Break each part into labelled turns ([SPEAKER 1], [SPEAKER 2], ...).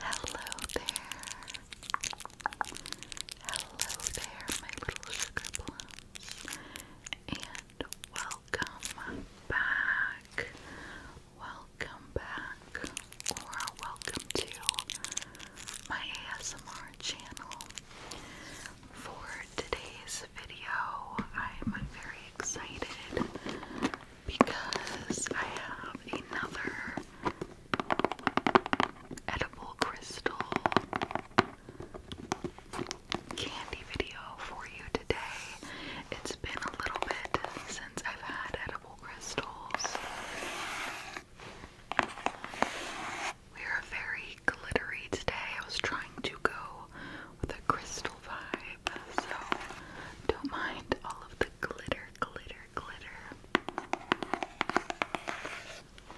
[SPEAKER 1] Hello there. Hello there, my little sugar And welcome back. Welcome back. Or welcome to my ASMR channel. For today's video, I'm very excited because I have another edible crystal candy video for you today. It's been a little bit since I've had edible crystals. We are very glittery today. I was trying to go with a crystal vibe shape, so don't mind all of the glitter, glitter, glitter.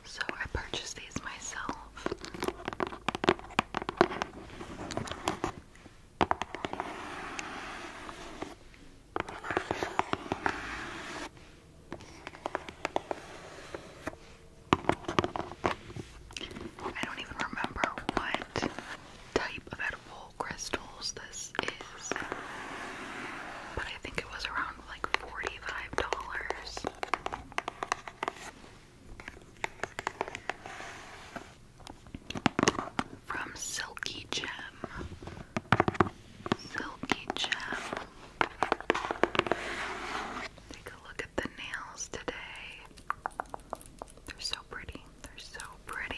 [SPEAKER 1] So I purchased these myself. I don't even remember what type of affordable crystals this is, but I think it was around like $45. From Silky Gem. Silky Gem. Take a look at the nails today. They're so pretty. They're so pretty.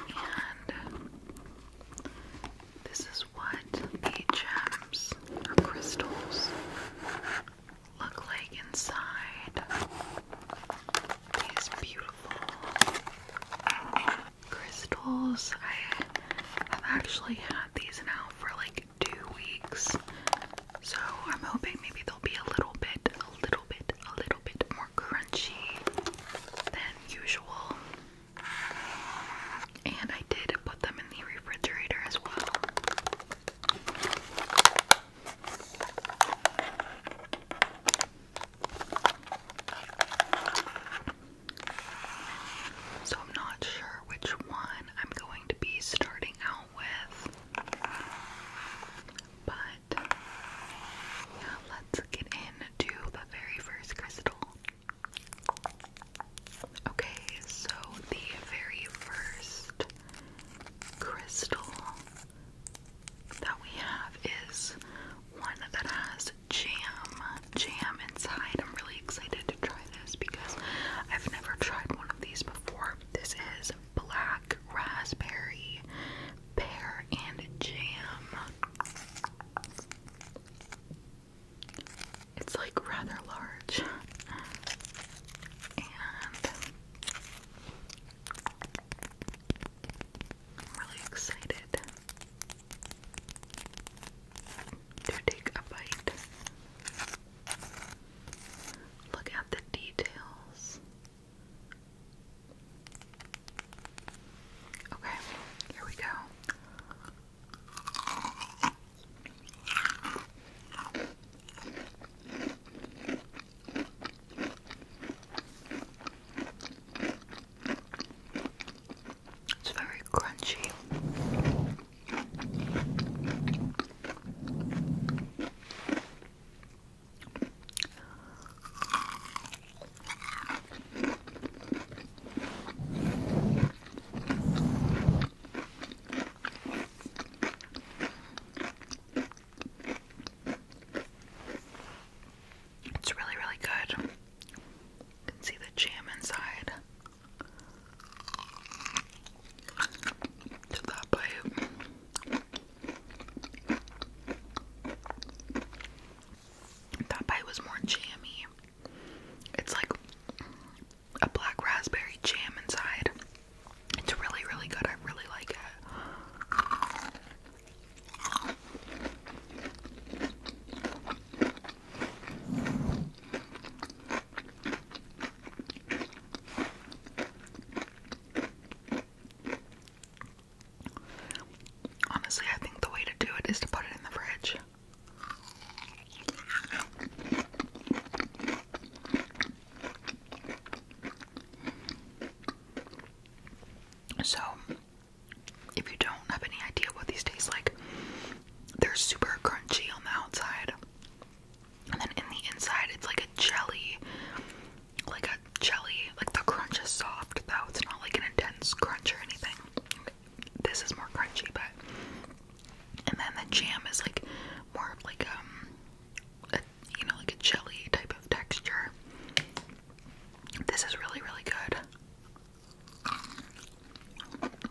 [SPEAKER 1] And this is what the gems or crystals look like inside. These beautiful crystals. I have actually had these now for like two weeks. So I'm hoping maybe they'll be a little bit, a little bit, a little bit more crunchy than usual. And I did put them in the refrigerator as well. So I'm not sure which one I'm going to be starting out with. But yeah, let's get into the very first crystal. Okay, so the very first crystal that we have is one that has jam jam inside. I'm really excited to try this because I've never tried one of these before. This is black raspberry, pear, and jam. It's like rather large. And I'm really excited to take a bite. Look at the details. Okay, here we go. It's very crunchy. It's really, really good. You can see the jam inside to that bite. That bite was more jammy. It's like a black raspberry jam inside. It's really, really good. I really like it. Honestly, I think the way to do it is to put it in the fridge. So, if you don't have any idea what these taste like, they're super crunchy on the outside. And then in the inside, it's like a jelly. Like a jelly. Like the crunch is soft, though. It's not like an intense crunch or anything. This is more crunchy, but. And then the jam is like more of like, um, a, you know, like a jelly type of texture. This is really, really good.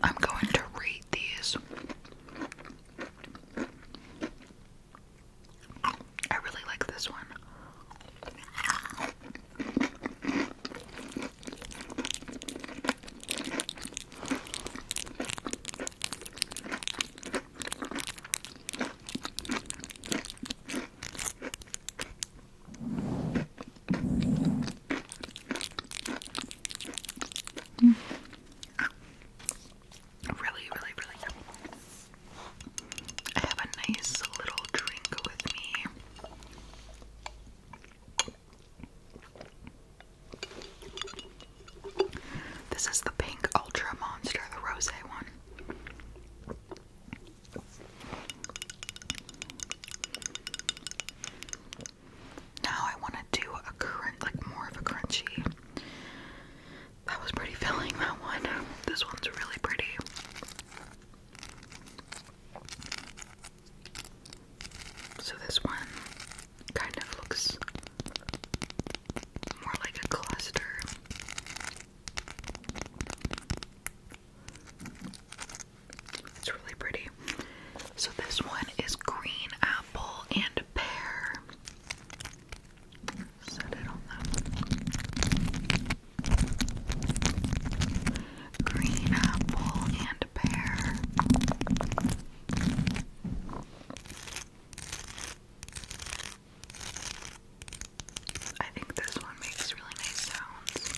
[SPEAKER 1] I'm going to read these. I really like this one. Really, really, really good. I have a nice little drink with me. This is the pink ultra monster, the rose one. Now I want to do a current, like more of a crunchy. That was pretty filling, that one. This one's really pretty. So this one kind of looks more like a cluster. It's really pretty. So this one is green apple and pear. Green apple and pear. I think this one makes really nice sounds.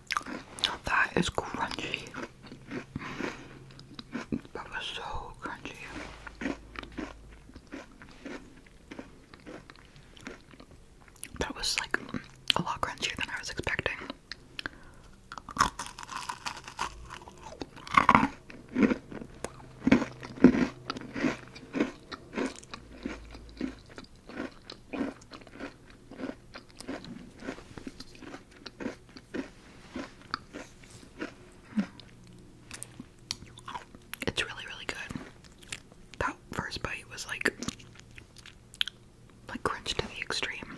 [SPEAKER 1] That is crunchy. That was so crunchy. That was like a lot crunchier than I was expecting. Mm. It's really, really good. That first bite was like, like crunch to the extreme.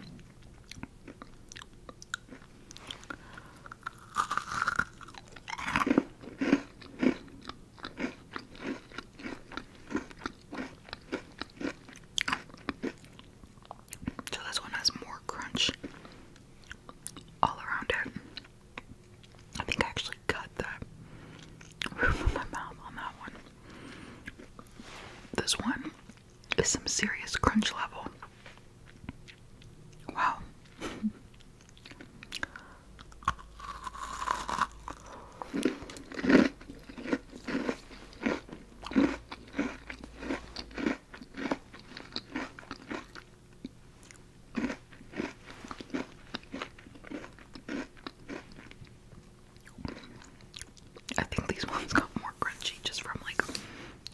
[SPEAKER 1] So this one has more crunch all around it. I think I actually cut the roof of my mouth on that one. This one is some serious crunch level. Wow. I think these ones got more crunchy just from like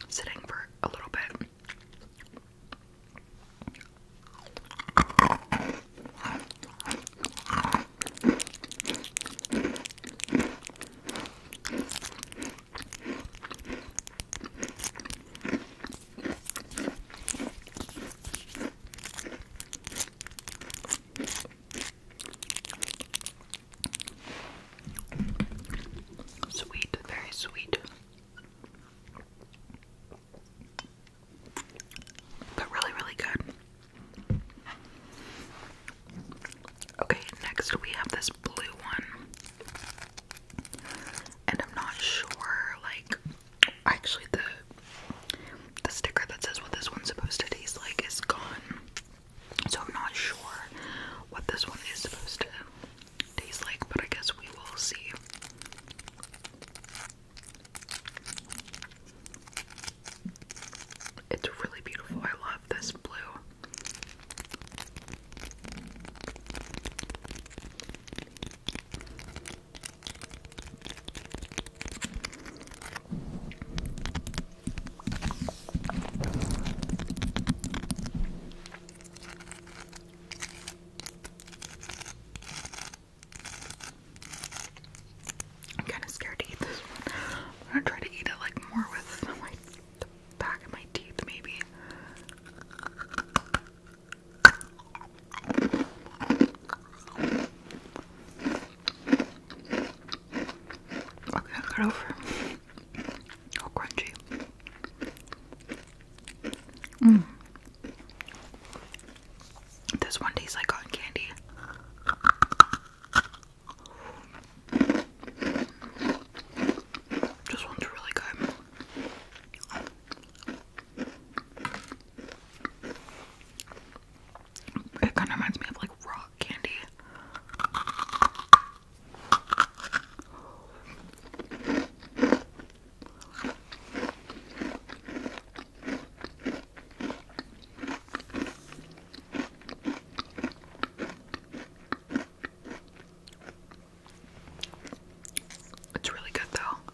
[SPEAKER 1] sitting for a little bit. Sweet, very sweet. But really, really good. Okay, next we have this blue one. And I'm not sure, like, actually the the sticker that says what this one's supposed to taste like is gone. So I'm not sure what this one is supposed to taste like, but I guess we will see. It's really beautiful. I love this blue. I'm kind of scared to eat this one. I'm gonna try to eat it like more with my, back of my teeth, maybe. Okay, I over. All crunchy. Mm. This one tastes like cotton candy. This one's really good. It kind of reminds me of like rock candy. It's really good though.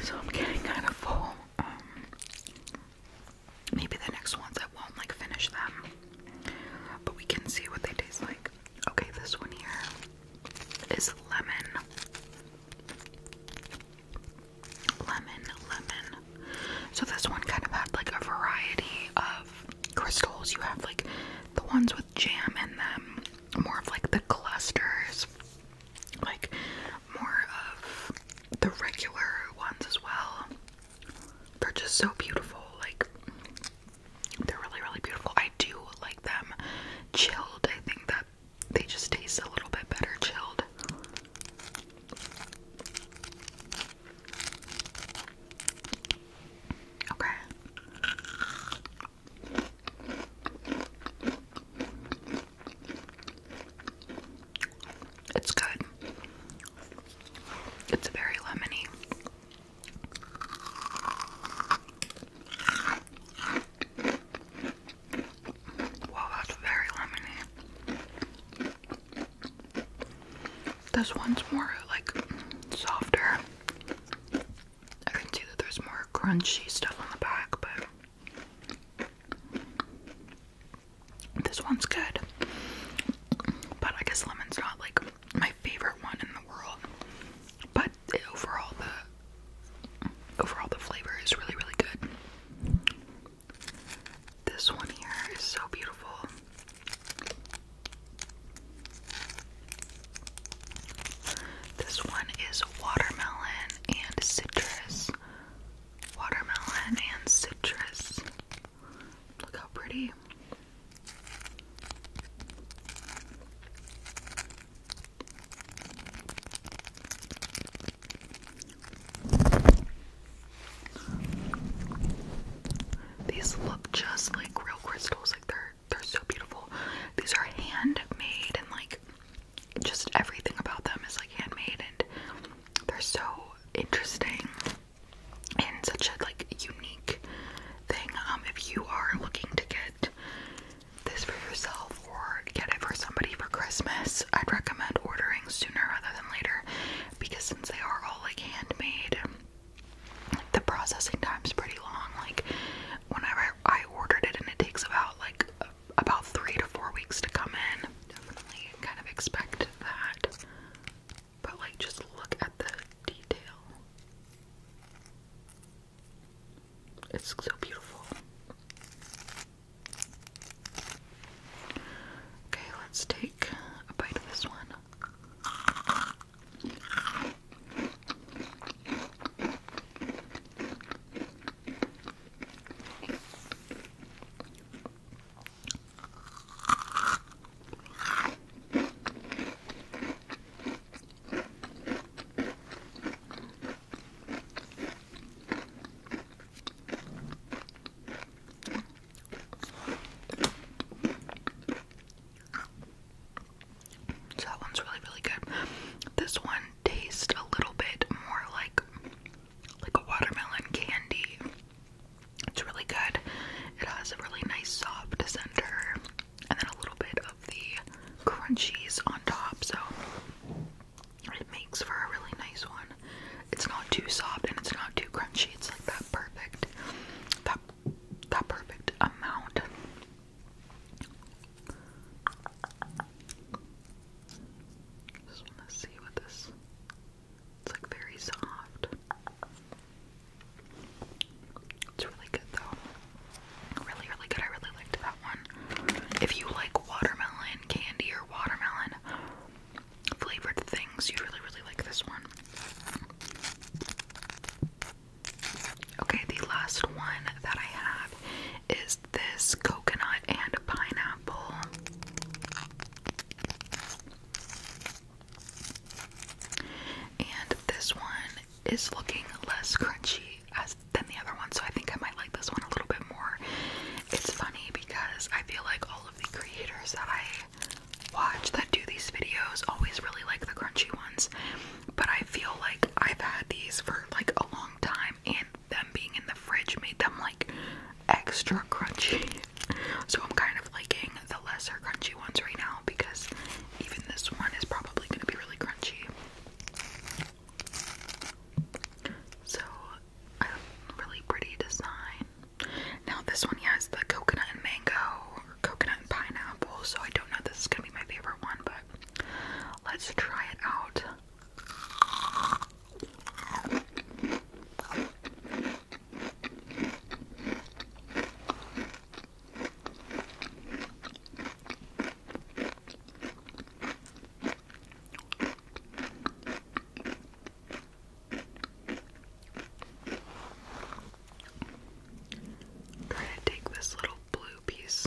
[SPEAKER 1] So I'm getting kind of full. Um, Maybe the next ones I won't like finish them. But we can see what they taste like. Okay, this one here is lemon. Lemon, lemon. So this one kind of had like a variety of crystals. You have like the ones with jam in them, more of like the clusters, like more of the regular ones as well. They're just so beautiful. Like they're really, really beautiful. I do like them chilled. I think that they just taste a little bit better chilled. Okay. It's good. It's very lemony. Wow, that's very lemony. This one's more like softer. I can see that there's more crunchy stuff on the back, but this one's good, but I guess lemon's not like my favorite one in the world. But overall, the overall the flavor is really really good. This one here is so beautiful. This one is watermelon and citrus watermelon and citrus. Look how pretty. These look just like real crystals, like they're they're so beautiful. These are handmade and like just everything about them is like handmade and they're so interesting and such a like unique thing. Um, if you are looking to get this for yourself or get it for somebody for Christmas, I'd recommend ordering sooner rather than later because since they are all like handmade, the processing time's pretty long. Like, whenever I ordered it, and it takes about like about three to four weeks to come in. Definitely kind of expect that. But like just look at the detail. It's so beautiful. Okay, let's take a bite of this one. So that one's really, really good. This one taste a little bit more like like a watermelon candy. It's really good. It has a really nice soft center and then a little bit of the crunchies on top. So it makes for a really nice one. It's not too soft and it's not too crunchy. It's like that perfect that that perfect amount just want to see what this. It's like very soft. It's really good though. Really, really good. I really liked that one. If you like watermelon candy or watermelon flavored things, you'd really, really like this one. Okay, the last one that I have is this coconut and pineapple. And this one is looking less crunchy than the other one, so I think I might like this one a little bit more. It's funny because I feel like all of the creators that I watch that do these videos always really like the crunchy ones but I feel like I've had these for like a long time, and them being in the fridge made them like extra crunchy. So I'm kind of liking the lesser crunchy ones right now because even this one is probably going to be really crunchy. So, a really pretty design. Now, this one has the coconut and mango or coconut and pineapple, so I don't know if this is gonna be my favorite one, but Let's try it out. i to take this little blue piece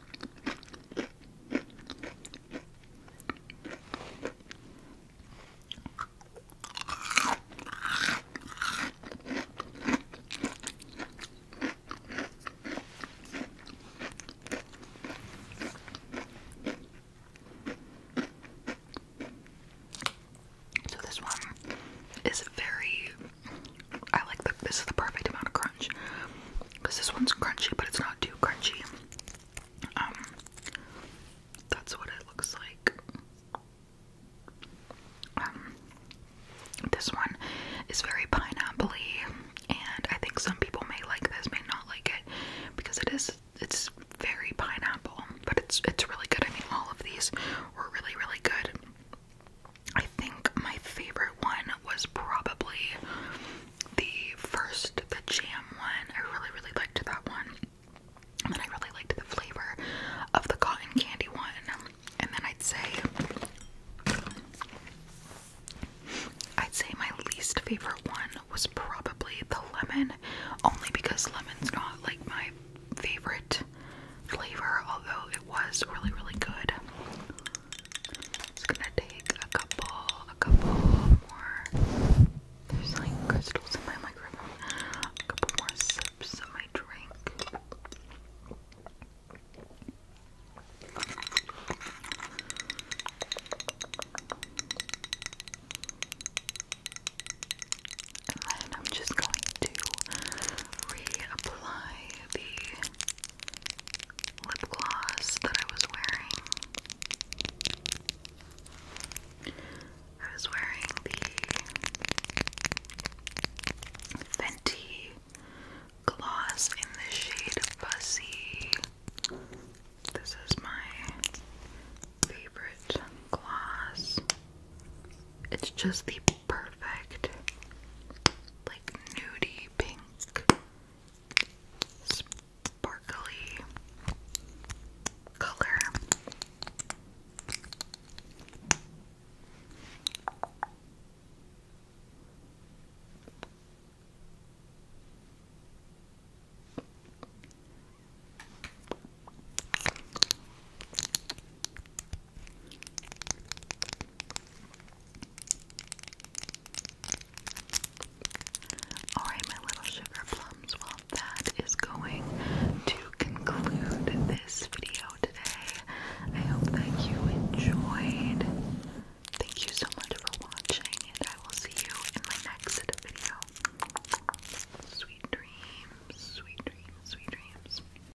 [SPEAKER 1] So this one is very I like that this is the perfect amount of crunch because this one's crunchy, but it's not too crunchy. Um, that's what it looks like. Um, this one is very pineapple and I think some people may like this, may not like it, because it is it's very pineapple, but it's it's really good. I mean, all of these were really really good. I think my favorite one was probably the first, the jam one. I really, really liked that one. And then I really liked the flavor of the cotton candy one. And then I'd say I'd say my least favorite one was probably the lemon, only because lemon's not like my favorite flavor, although it was really, really good. It's gonna take a couple, a couple more. There's like crystals in my microphone. A couple more sips of my drink. And then I'm just going to reapply the lip gloss that I was wearing. I was wearing the Fenty gloss in the shade Fuzzy. This is my favorite gloss. It's just the perfect perfect, like nudie pink, sparkly color. Alright, my little sugar plums, well, that is going to conclude this video today. I hope that you enjoyed. Thank you so much for watching, and I will see you in my next video. Sweet dreams, sweet dreams, sweet dreams.